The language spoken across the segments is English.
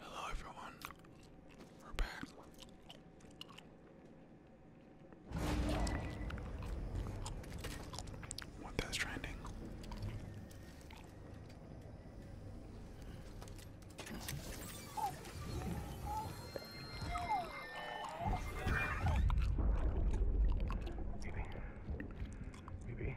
Hello, everyone. We're back. What that's trending? Maybe. Maybe.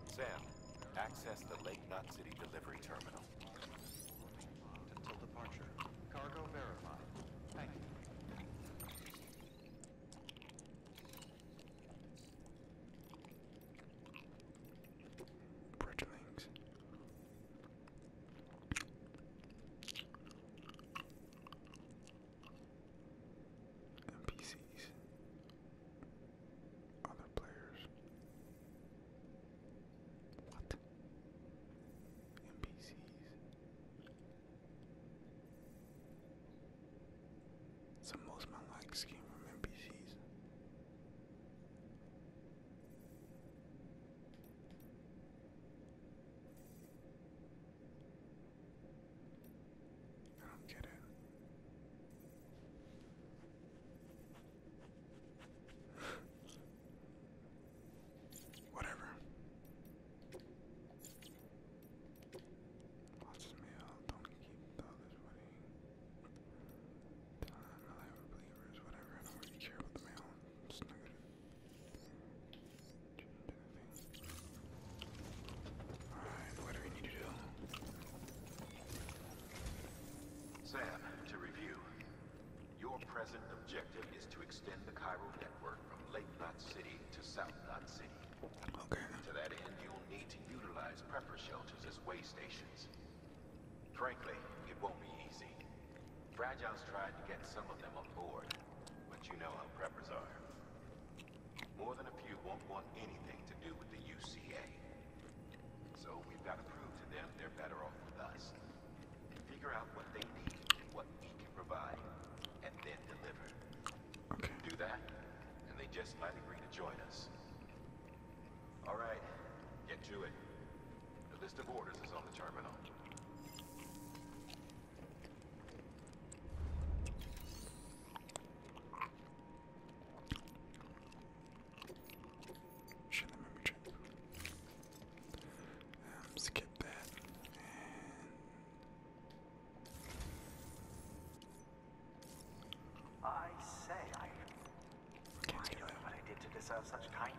Sam, access the Lake Knot City delivery terminal. Until departure. Cargo verified. Thank you. Bridge links. NPCs, other players. What? NPCs. So most men like likes from NPCs. I don't get it. Whatever. Lots of mail, don't keep the others waiting. Time, reliable believers, whatever. I don't really care about the mail. Just not good. Sam, to review. Your present objective is to extend the Cairo network from Lake Knot City to South Knot City. Okay. To that end, you'll need to utilize prepper shelters as way stations. Frankly, it won't be easy. Fragile's tried to get some of them on board, but you know how preppers are. More than a few won't want anything to do with the UCA. So we've got to prove to them they're better off with us. and Figure out what they need and what we can provide, and then deliver. we can Do that, and they just might agree to join us. All right, get to it. The list of orders is on the terminal. Share the memory um, skip that I say I don't know what I did to deserve such kindness.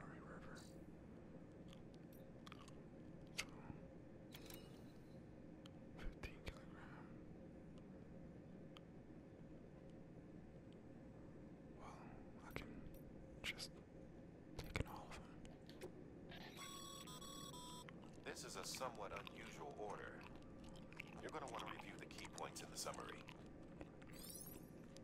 Murray River. 15 kilogram. Well, I can just take an all of them. This is a somewhat unusual order. You're going to want to review the key points in the summary.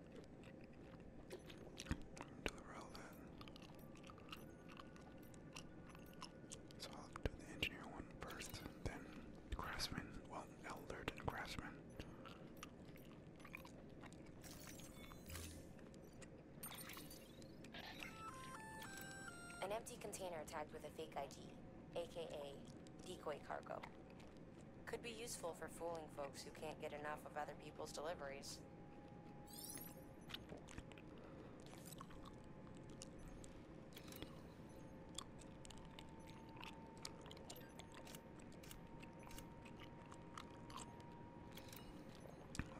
do the rail So I'll do the engineer one first, then craftsman, well, elder and craftsman. An empty container tagged with a fake ID, aka decoy cargo. Could be useful for fooling folks who can't get enough of other people's deliveries.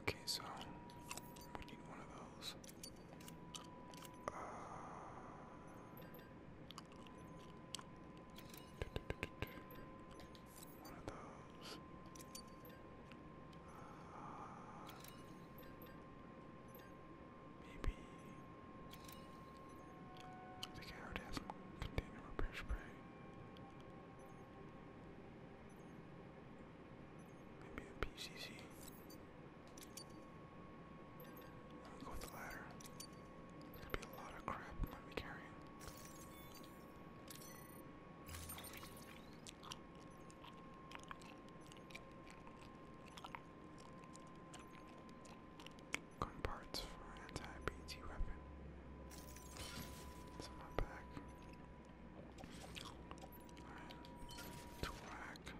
Okay, so we need one of those. Uh, one of those. maybe. I think container repair spray. Maybe a PCC. I'm go with the ladder. There's gonna be a lot of crap I'm gonna be carrying. Gun parts for anti-BT weapon. on my back. Alright. Twack.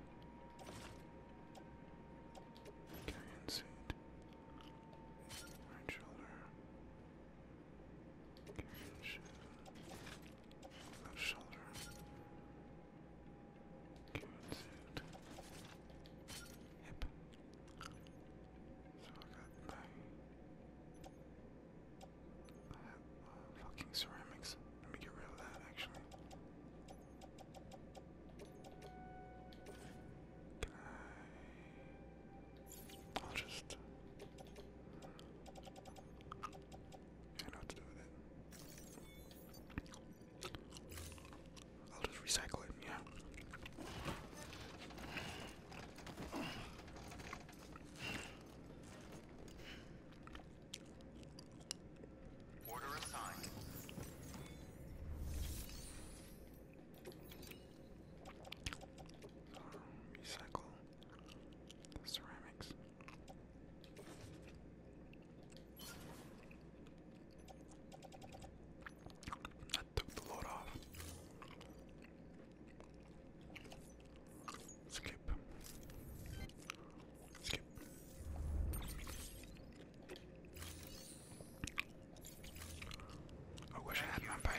Carrying seat. Right shoulder shoulder. Good. Hip. So I got my. fucking ceramics. Let me get rid of that actually. Can I I'll just. I will just recycle it, yeah. Order assigned. Um, recycle ceramics. That took the load off. Skip. Skip. I wish I had my bike.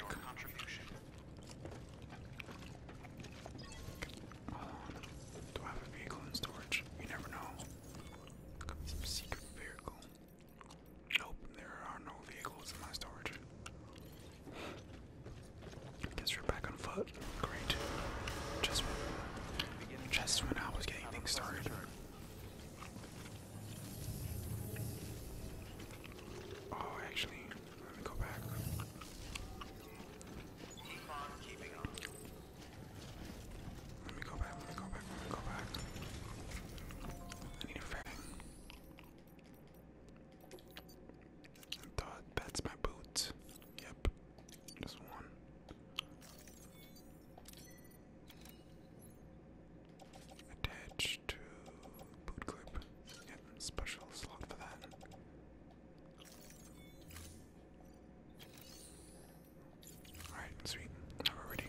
Do I have a vehicle in storage? You never know. secret vehicle. Nope, there are no vehicles in my storage. Guess we're back on foot. Great. just when I was getting things started. Oh, actually, let me go back. Keep on keeping on. Let me go back, let me go back, let me go back. I need a fang. thought that's my boot. Yep, just one. Attach to boot clip. Yep, special slot for that. Alright, sweet. Now we're ready.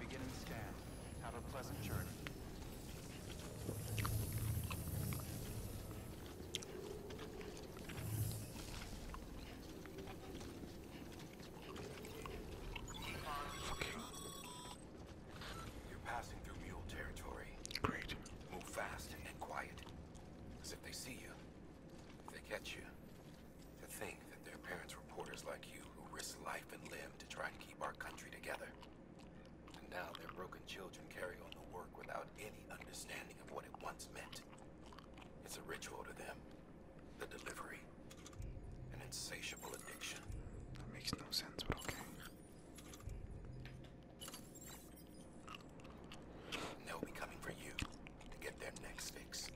Begin scan. Have a pleasant journey. Great. Move fast and quiet. Because if they see you, they catch you, to think that their parents were reporters like you who risked life and limb to try to keep our country together. And now their broken children carry on the work without any understanding of what it once meant. It's a ritual to them the delivery, an insatiable addiction. That makes no sense, but okay. they'll be coming for you to get their next fix.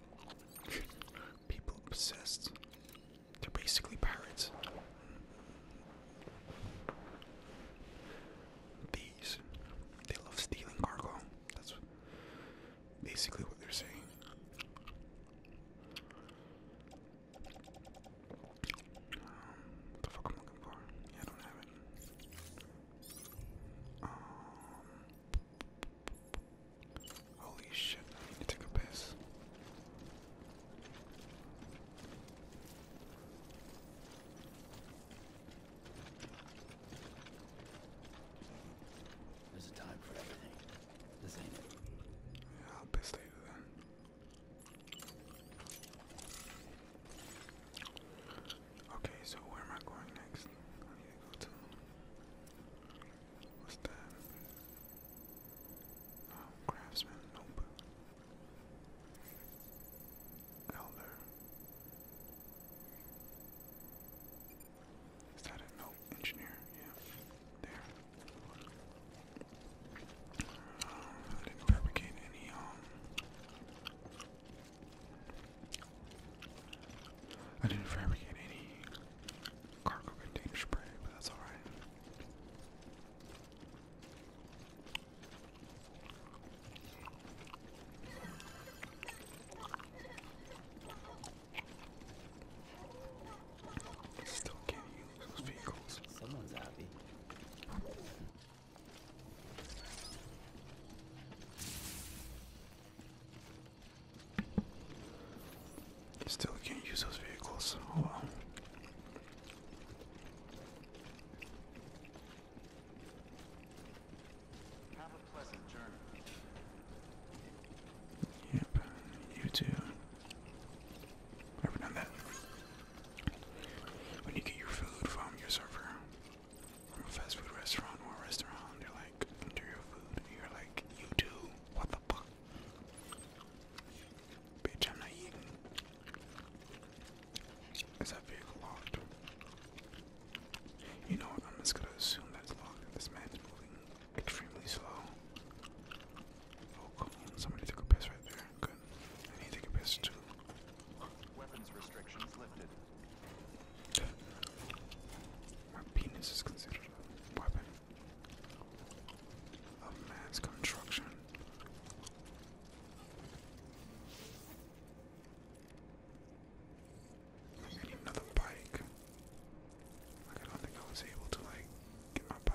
People obsessed. They're basically pirates. These. They love stealing cargo. That's basically what they're saying. Um, what the fuck I'm looking for? I don't have it. Um, holy shit, I need a piss. There's a time for everything. This ain't it. I'll piss later then. Okay, so where am I going next? I need to go to. What's that? Oh, craftsman, nope. Elder. Is that it? No, engineer. Yeah, there. Uh, I didn't fabricate any. Um, I didn't fabricate any cargo container spray, but that's all right. Still can't use those vehicles. Someone's happy. Still can't use those vehicles. Yep, you too. i done that. When you get your food from your server, from a fast food restaurant or restaurant, they're like, into your food, you're like, you too, what the fuck? Bitch, I'm not eating. Is that vehicle locked? You know what? I'm just gonna assume that's locked. This man's moving extremely slow. Oh, cool. Somebody took a piss right there. Good. I need to take a piss too. Weapons restrictions lifted. My penis is considered a weapon of mass construction. I need another bike. I don't think I was able to like get my bike.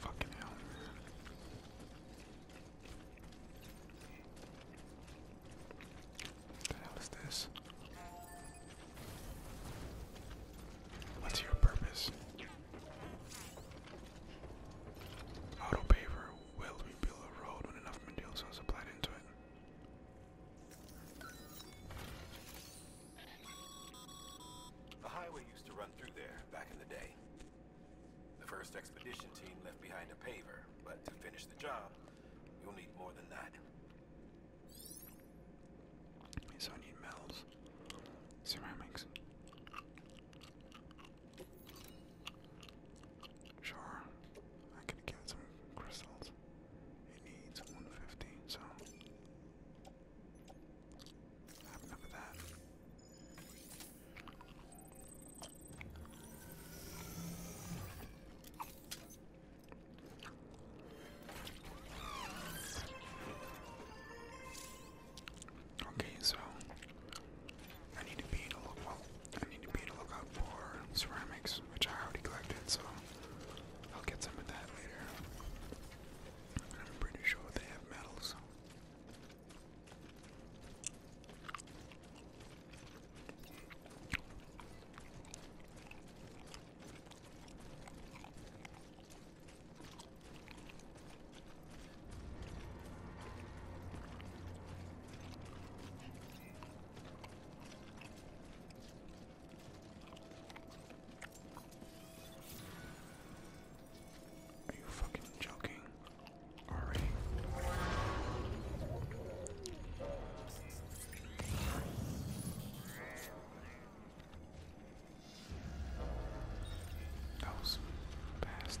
Fucking hell, man. What the hell is this? What's your purpose? Auto paver, will rebuild a road when enough materials are supplied into it. The highway used to run through there back in the day. The first expedition team left behind a paver, but to finish the job, you'll need more than that. So I need metals, ceramics, Sure, I could get some crystals. It needs 150, so I have enough of that. Okay, so I need to be in a look well, I need to be in a lookout for ceramics, which I already collected, so I'll get some of that later. I'm pretty sure they have metals. Are you fucking joking? Already. That was fast.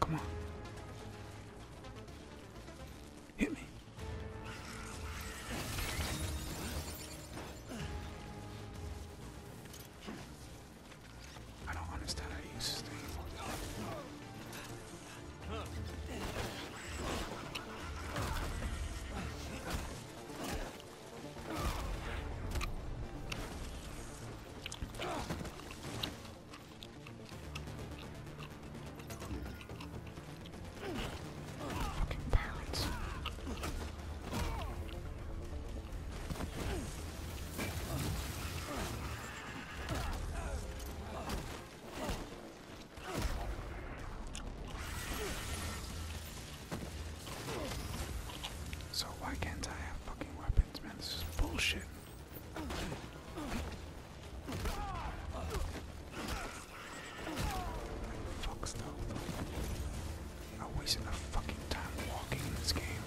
Come on. Hit me. I don't understand how to use Fucking parents. So why can't I have fucking weapons, man? This is bullshit. Fuck stuff. I waste fucking time walking in this game.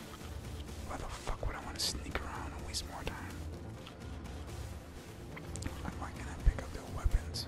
Why the fuck would I want to sneak around and waste more time? Like why can't I pick up their weapons?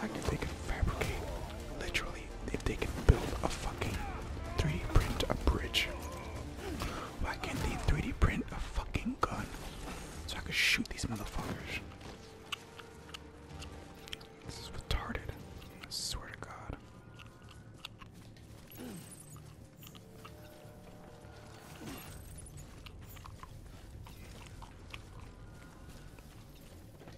I if they can fabricate, literally, if they can build a fucking 3D print a bridge, why can't 3D print a fucking gun so I can shoot these motherfuckers? This is retarded. I swear to God.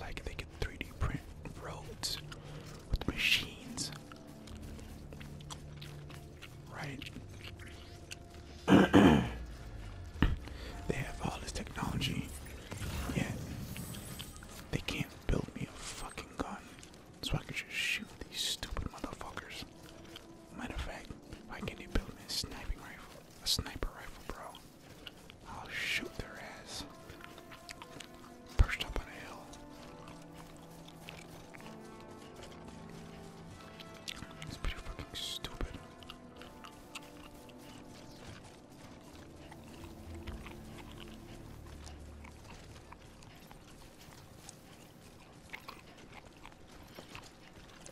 Like they could 3D print roads with machines. Right? they have all this technology, yet they can't build me a fucking gun so I can just shoot these stupid motherfuckers. Matter of fact, why can't they build me a sniping rifle? A sniper rifle, bro. I'll shoot their ass. Perched up on a hill. It's pretty fucking stupid.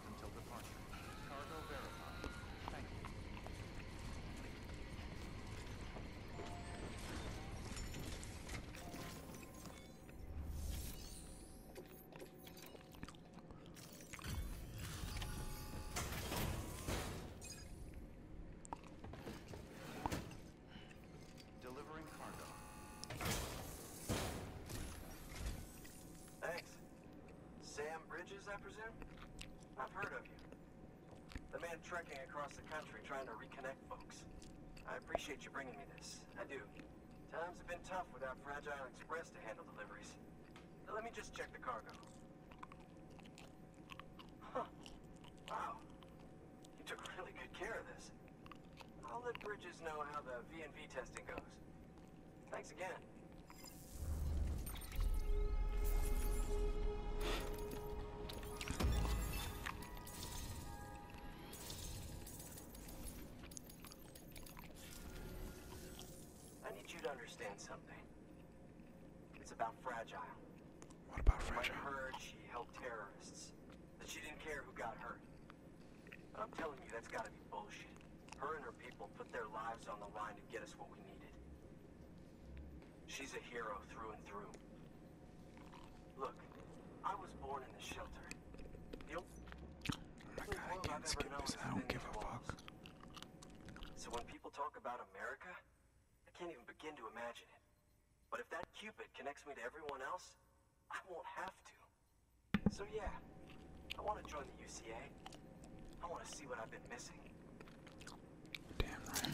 locked until departure. Cargo verified. Thank you. Delivering cargo. Thanks. Sam Bridges, I presume? I've heard of you. The man trekking across the country trying to reconnect folks. I appreciate you bringing me this. I do. Times have been tough without Fragile Express to handle deliveries. let me just check the cargo. Huh. Wow. You took really good care of this. I'll let Bridges know how the V&V testing goes. Thanks again. I need you to understand something. It's about Fragile. What about Fragile? I heard she helped terrorists. That she didn't care who got hurt. I'm telling you, that's gotta be bullshit. Her and her people put their lives on the line to get us what we needed. She's a hero through and through. Look, I was born in the shelter. The oh my god, I can't skip this. I don't give a fuck. So when people talk about America, I can't even begin to imagine it. But if that Cupid connects me to everyone else, I won't have to. So yeah, I want to join the UCA. I want to see what I've been missing. Damn right.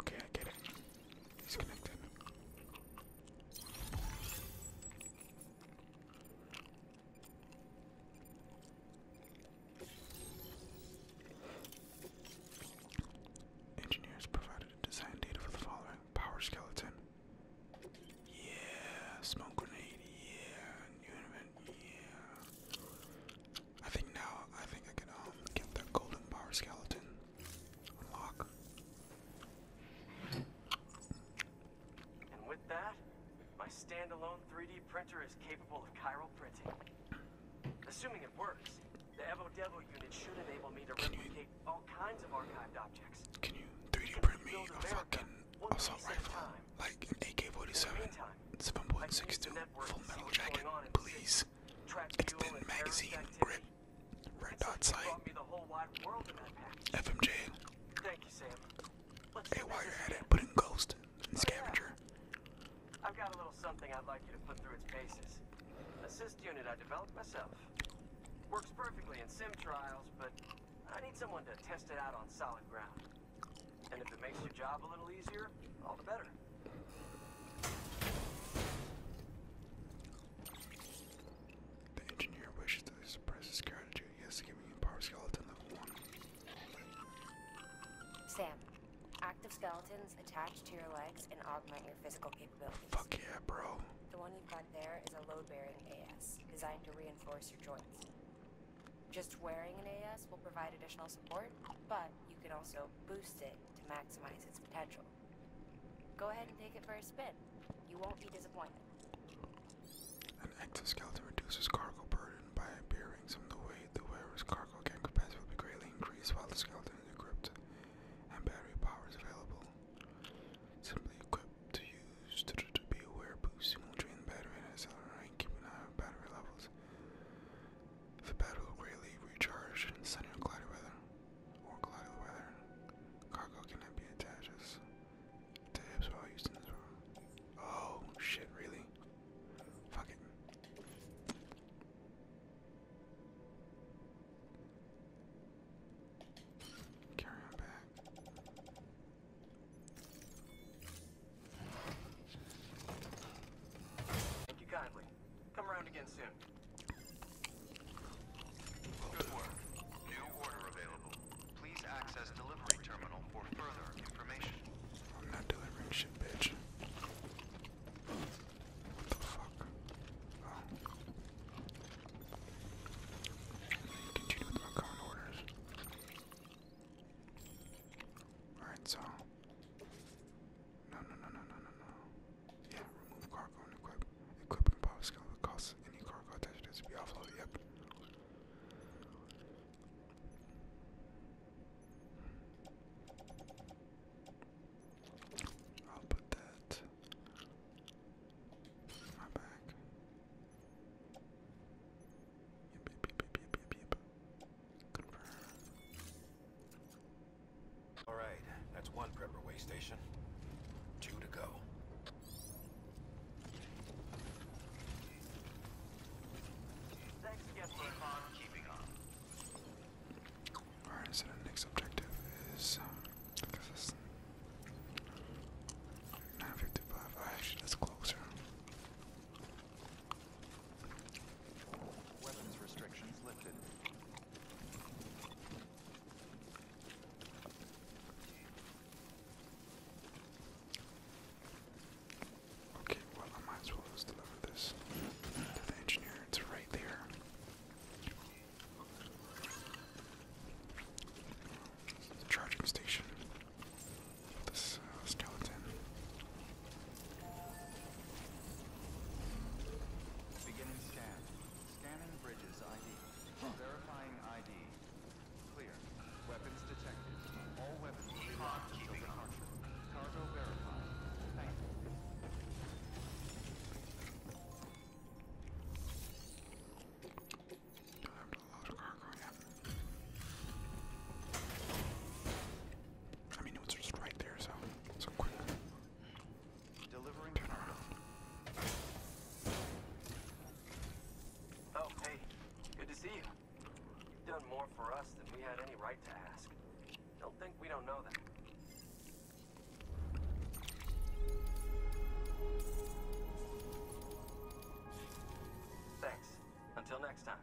Okay, I get it. He's connected. Engineers provided design data for the following power skeleton. Yeah, smoke grenade. Yeah, new invent. Yeah. I think now I think I can um, get the golden power skeleton. Unlock. And with that, my standalone 3D printer is capable of chiral printing. Assuming works. The Evo unit should enable me to Can replicate you, all kinds of archived objects. Can you 3D print me a fucking assault rifle? Like an AK-47, 7.62, full metal jacket, please. It's magazine, grip, red dot sight, FMJ. hey, while you're at it, put in Ghost. Scavenger. I've got a little something I'd like you to put through its paces. Assist unit I developed myself. Works perfectly in sim trials, but I need someone to test it out on solid ground. And if it makes your job a little easier, all the better. The engineer wishes to suppress his gratitude. give me a power skeleton Sam, active skeleton tendons to your legs and augment your physical capabilities. Fuck yeah, bro. The one you've got there is a load-bearing AS, designed to reinforce your joints. Just wearing an AS will provide additional support, but you can also boost it to maximize its potential. Go ahead and take it for a spin. You won't be disappointed. An exoskeleton reduces cargo burden by bearing some of the weight the wearer's cargo carrying capacity will be greatly increased while the skeleton is equipped and battery power is available. Simply equipped to use to, be aware boost, you will drain the battery and accelerate, keep an eye on battery levels. The battery will greatly recharge in sunny or cloudy weather. Or cloudy weather. Cargo cannot be attached as to hips while used in this room. Oh shit, really? Fuck it. Carry him back. Thank you kindly. Come around again soon. Good work. New order available. Please access delivery terminal for further information. I'm not delivering shit, bitch. What the fuck? Continue with my current orders. Alright, so. No, no, no, no, no, no, no. Yeah, remove cargo and equip. Equip and power skill any cargo attached to be offloaded. Yep. I'll put that in my bag. Alright, that's one prepper way station. Two to go. Alright, so the next objective is um, 955. Oh, actually, that's closer. Weapons restrictions lifted. Okay, well, I might as well just deliver this the engineer. It's right there. charging station. This uh, skeleton. Beginning scan. Scanning bridges ID. Verifying ID. Clear. Weapons detected. All weapons locked until Cargo verified. have to load cargo, yeah. I mean, it's just right there, so so quick. Oh, hey. Good to see you. You've done more for us than we had any right to ask. Don't think we don't know that. Thanks. Until next time.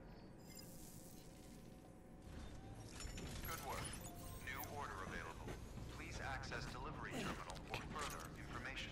Good work. New order available. Please access delivery terminal for further information.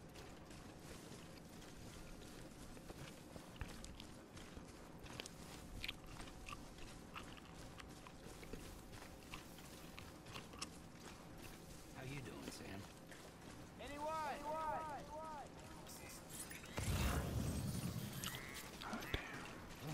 How you doing, Sam? Anyone? Anyone? Oh, damn. Oh,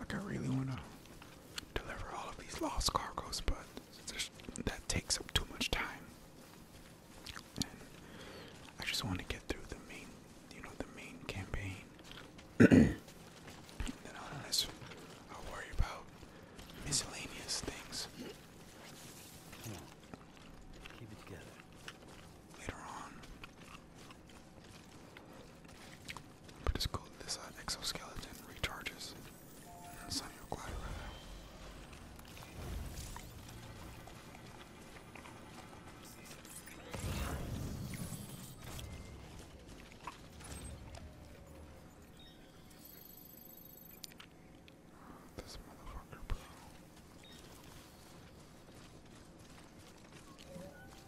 Like I really want to deliver all of these lost cargoes, but that takes up too much time. I just want to get through the main, you know, the main campaign then on this, i worry about miscellaneous things. Keep it together. Later on. But it's cool that this exoskeleton recharges. And then some you this motherfucker, bro. motherfucker's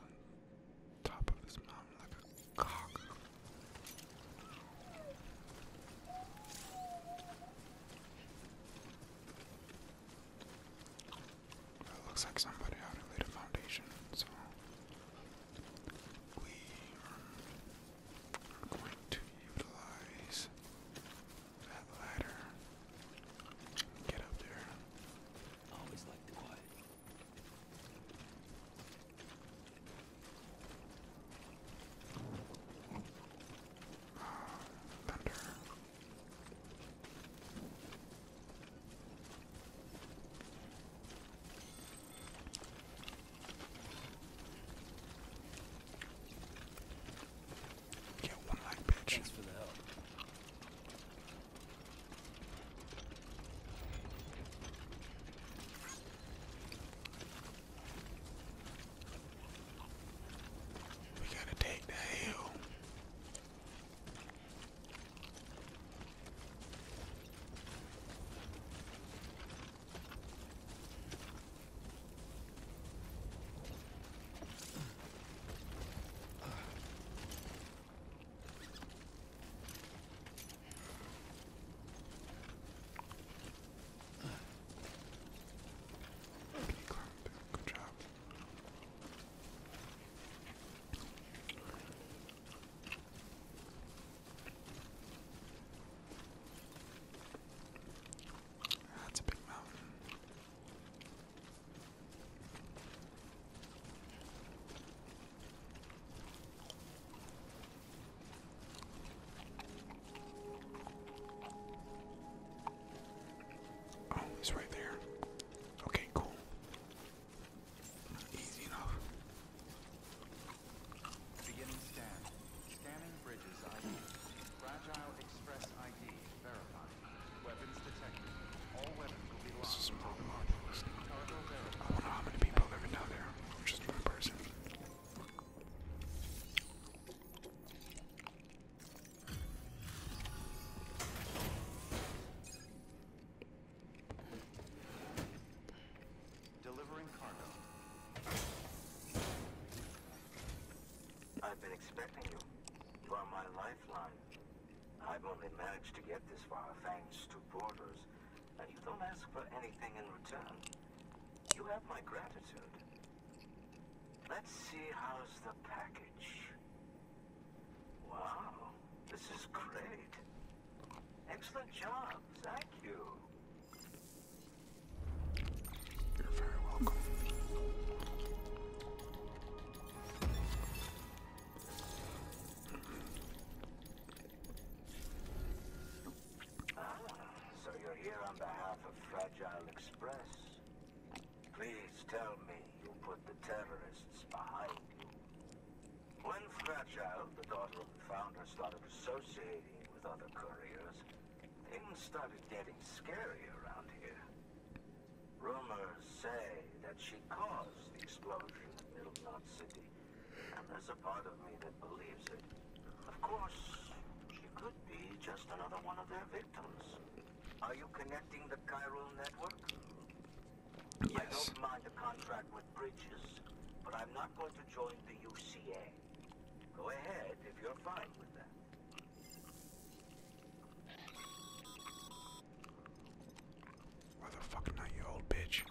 on top of his mountain like a cock. It looks like somebody ought to laid a foundation, so we are going to utilize that ladder get up there. Always like the quiet. Thunder. Get one leg, bitch. Thanks for the help. We gotta take the hill good job. That's a big mountain. Oh, it's right there. Okay, cool. Easy enough. Beginning scan. Scanning bridges ID. Fragile Express ID verified. Weapons detected. All weapons will be locked. This is a problem. I wonder how many people live down there. just one person. Delivering cargo. I've been expecting you. You are my lifeline. I've only managed to get this far thanks to borders and you don't ask for anything in return. You have my gratitude. Let's see how's the package. Wow, this is great. Excellent job, thank you. You're very welcome. Ah, so you're here on behalf of Fragile Express. Please tell me you put the terrorists behind you. When Fragile, the daughter of the founder, started associating with other couriers, things started getting scary around here. Rumors say that she caused the explosion at Middle Knot City, and there's a part of me that believes it. Of course, she could be just another one of their victims. Are you connecting the chiral network? Yes. I don't mind a contract with Bridges, but I'm not going to join the UCA. Go ahead if you're fine with that. Why the fuck not, you old bitch?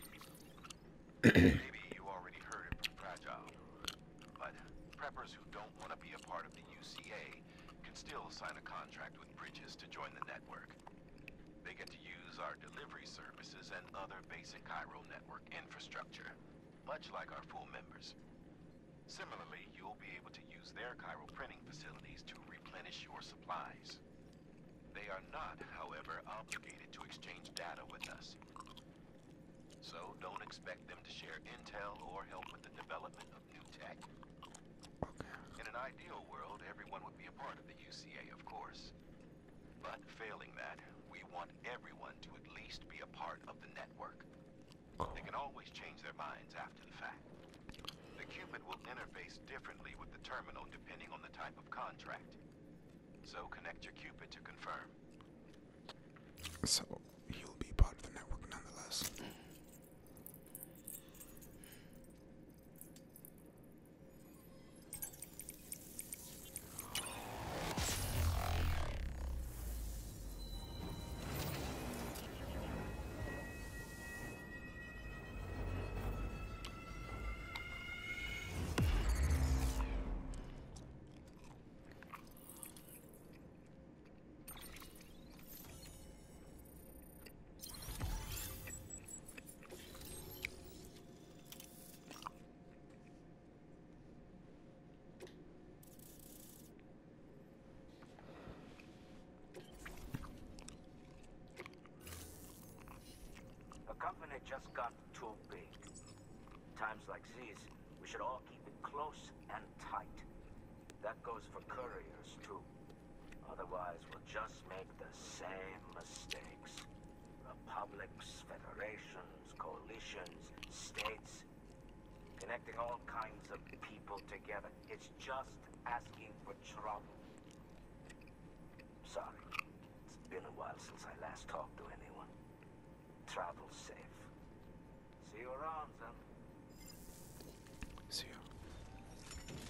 Maybe you already heard it from Fragile. But preppers who don't want to be a part of the UCA can still sign a contract with Bridges to join the network. They get to use our delivery services and other basic Cairo network infrastructure, much like our full members. Similarly, you'll be able to use their Cairo printing facilities to replenish your supplies. They are not, however, obligated to exchange data with us. So don't expect them to share intel or help with the development of new tech. In an ideal world, everyone would be a part of the UCA, of course. But failing that, we want everyone to at least be a part of the network. Oh. They can always change their minds after the fact. The Cupid will interface differently with the terminal depending on the type of contract. So connect your Cupid to confirm. So you'll be part of the network nonetheless just got too big. Times like these, we should all keep it close and tight. That goes for couriers, too. Otherwise, we'll just make the same mistakes. Republics, federations, coalitions, states. Connecting all kinds of people together. It's just asking for trouble. Sorry. It's been a while since I last talked to anyone. Travel safe. See you around, son. See you.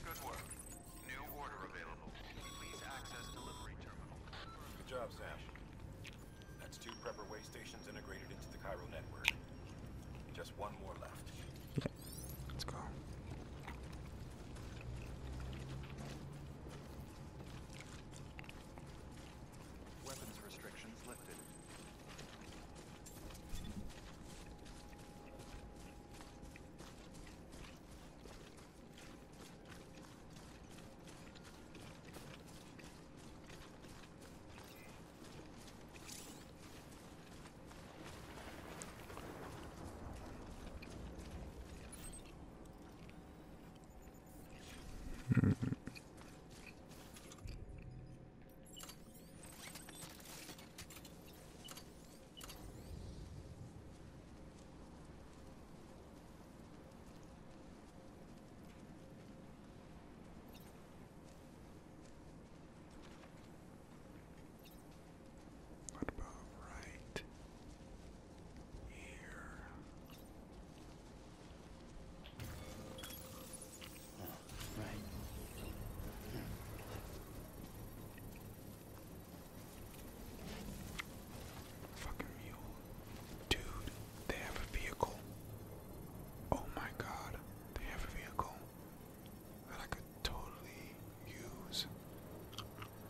Good work. New order available. Please access delivery terminal. Good job, Sam. That's two prepper way stations integrated into the Cairo network. Just one more left. Let's go. Weapons restrictions lifted. Hmm. What about right here? Fucking mule. Dude, they have a vehicle. Oh my god, they have a vehicle that I could totally use.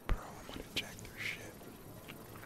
Bro, I'm gonna check their shit.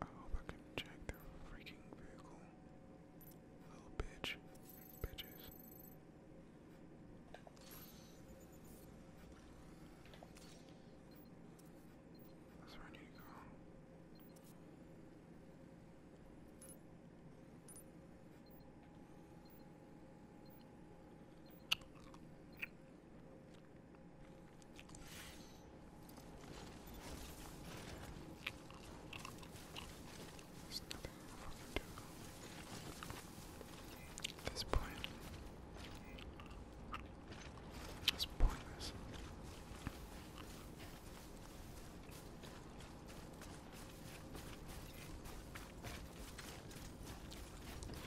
I hope I can check their freaking vehicle. Little bitch. Bitches. where I need go. There's nothing more to do at this point. That's pointless.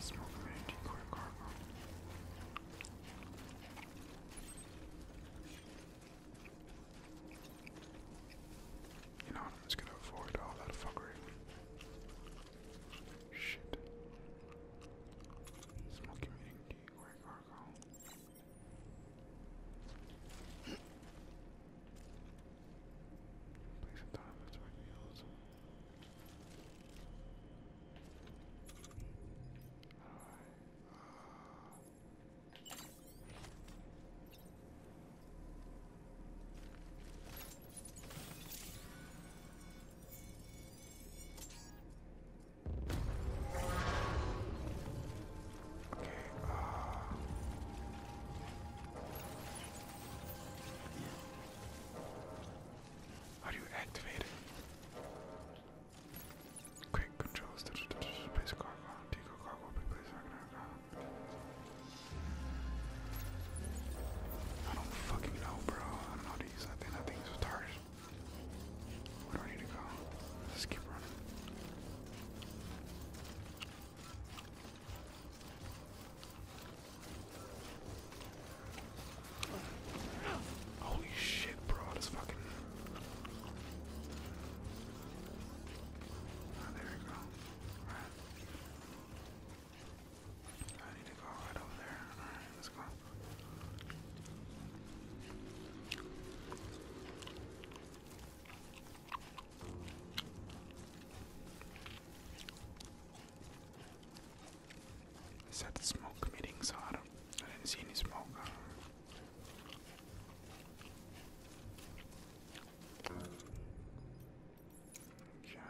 Smoke mountain core cargo. You know I'm just gonna avoid all that fuckery. Shit. Smoking meeting D core Take some time between meals. Alright. Uh, Okay, uh, how do you activate it? Quick controls, place cargo, deco cargo, big place cargo. I don't fucking know, bro. I don't know how to use that thing. That thing's retarded. Where do I need to go? Let's keep running. Holy shit, bro, this fucking. Ah, there we go. I need to go right over there. let's go. Is that smoke meeting? So I do I didn't see any smoke. Uh, okay.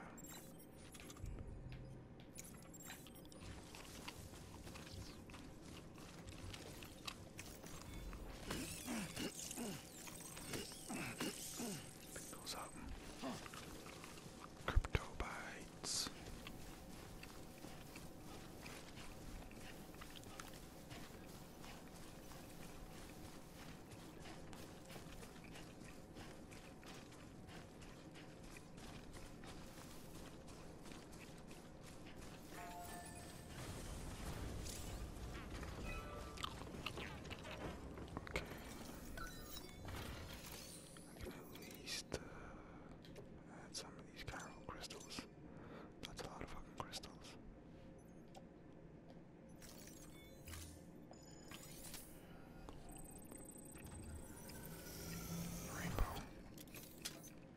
Pick those up. Crypto bites. Okay. I need at least uh, add some of these chiral crystals. That's a lot of fucking crystals. Rainbow.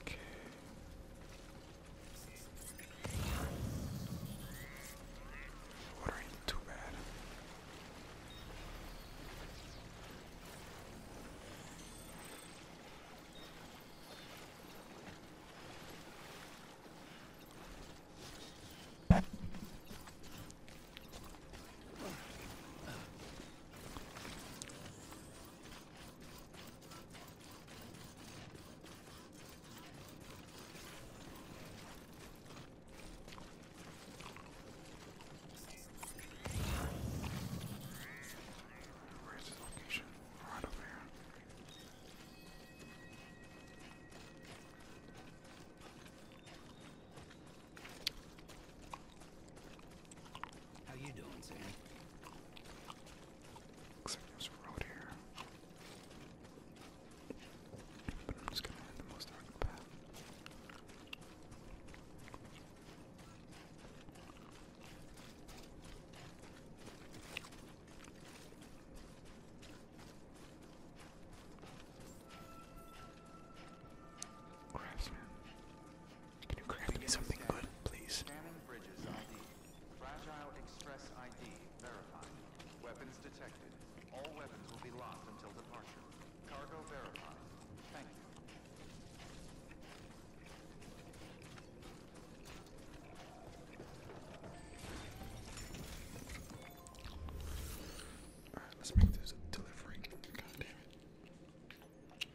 Okay. Water ain't too bad. Where's the location? Right over here. How you doing, Sam? Looks like there's road here. But I'm just gonna hit the most dark path. Craftsman. Can you craft me something good, please? Fragile Express ID verified. Weapons detected. All weapons will be locked until departure. Cargo verified. All right, let's make this a delivering. God damn it.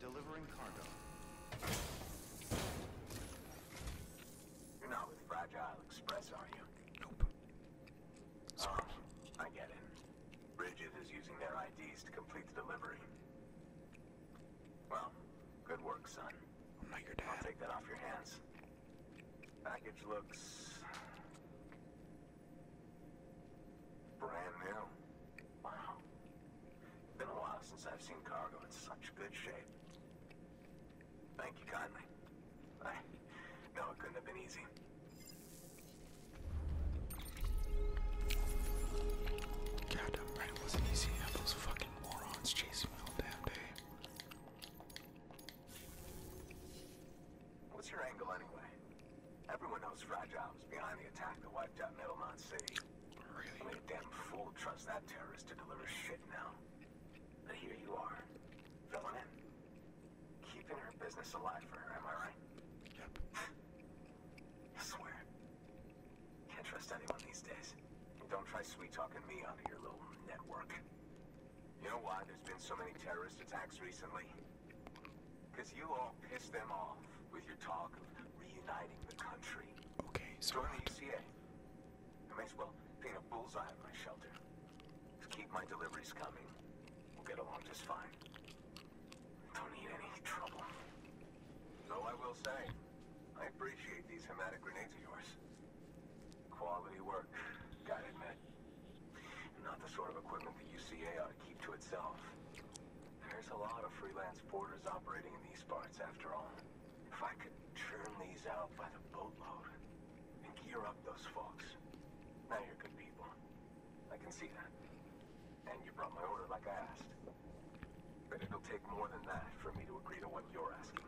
Delivering cargo. You're not with Fragile Express, are you? Nope. Sort ah, I get it. Bridges is using their IDs to complete the delivery. Well, good work, son. I'm not your dad. I'll take that off your hands. Package looks brand new. Wow. It's Been a while since I've seen cargo in such good shape. Thank you kindly no, it couldn't have been easy. God it wasn't easy. I those fucking morons chasing me all damn day. What's your angle anyway? Everyone knows Fragile was behind the attack that wiped out Middlemont City. Really? I a damn fool trust that terrorist to deliver shit now. But here you are, filling in. Keeping her business alive for her, am I right? Yep. I swear. Can't trust anyone these days. don't try sweet-talking me onto your little network. You know why there's been so many terrorist attacks recently? Because you all pissed them off with your talk of reuniting the country. Okay, so... Join the UCA. I may as well paint a bullseye on my shelter. Keep my deliveries coming. We'll get along just fine. Don't need any trouble. Though I will say, I appreciate these hematic grenades of yours. Quality work, gotta admit. Not the sort of equipment the UCA ought to keep to itself. There's a lot of freelance porters operating in these parts, after all. If I could churn these out by the boatload, and gear up those folks. Now you're good people. I can see that. And you brought my order like I asked. But it'll take more than that for me to agree to what you're asking.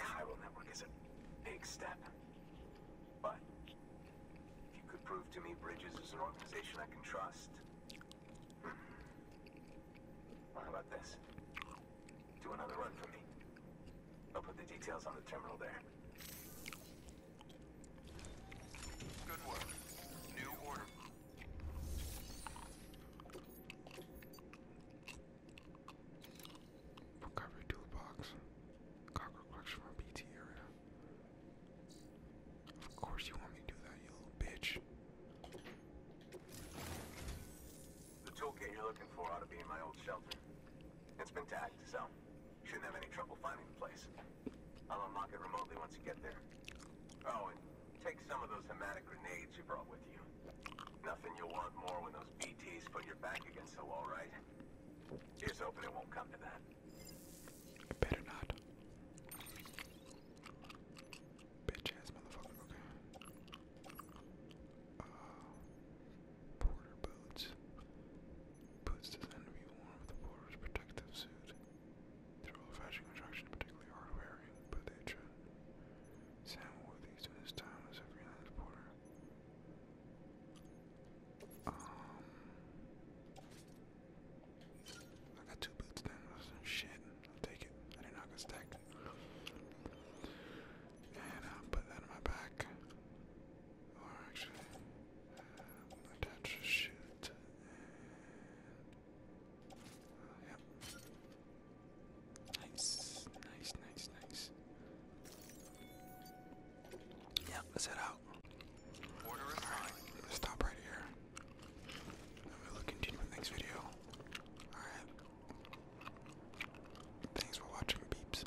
Chiral Network is a big step. But if you could prove to me Bridges is an organization I can trust. Hmm. How about this? Do another run for me. I'll put the details on the terminal there. Good work. New order. Recovery toolbox. Cocker collection from BT area. Of course you want me to do that, you little bitch. The toolkit you're looking for ought to be in my old shelter. It's been tagged, so Shouldn't have any trouble finding the place. I'll unlock it remotely once you get there. Oh, and take some of those hematic grenades you brought with you. Nothing you'll want more when those BTs put your back against the wall, right? Here's hoping it won't come to that. Better not. Bitch motherfucker, uh, porter boots. Boots designed to be worn with a porter's protective suit. They're old-fashioned construction, particularly hard-wearing, but they should. Sam wore these in his time as a freelance porter. Um, I got two boots then. Shit, I'll take it. I did not get stacked. And i uh, put that in my back. Or actually, um, attach shoot yep. Nice, nice, nice, nice. Yep, let's head out. Alright, stop right here. And we'll continue with next video. Alright. Thanks for watching, peeps.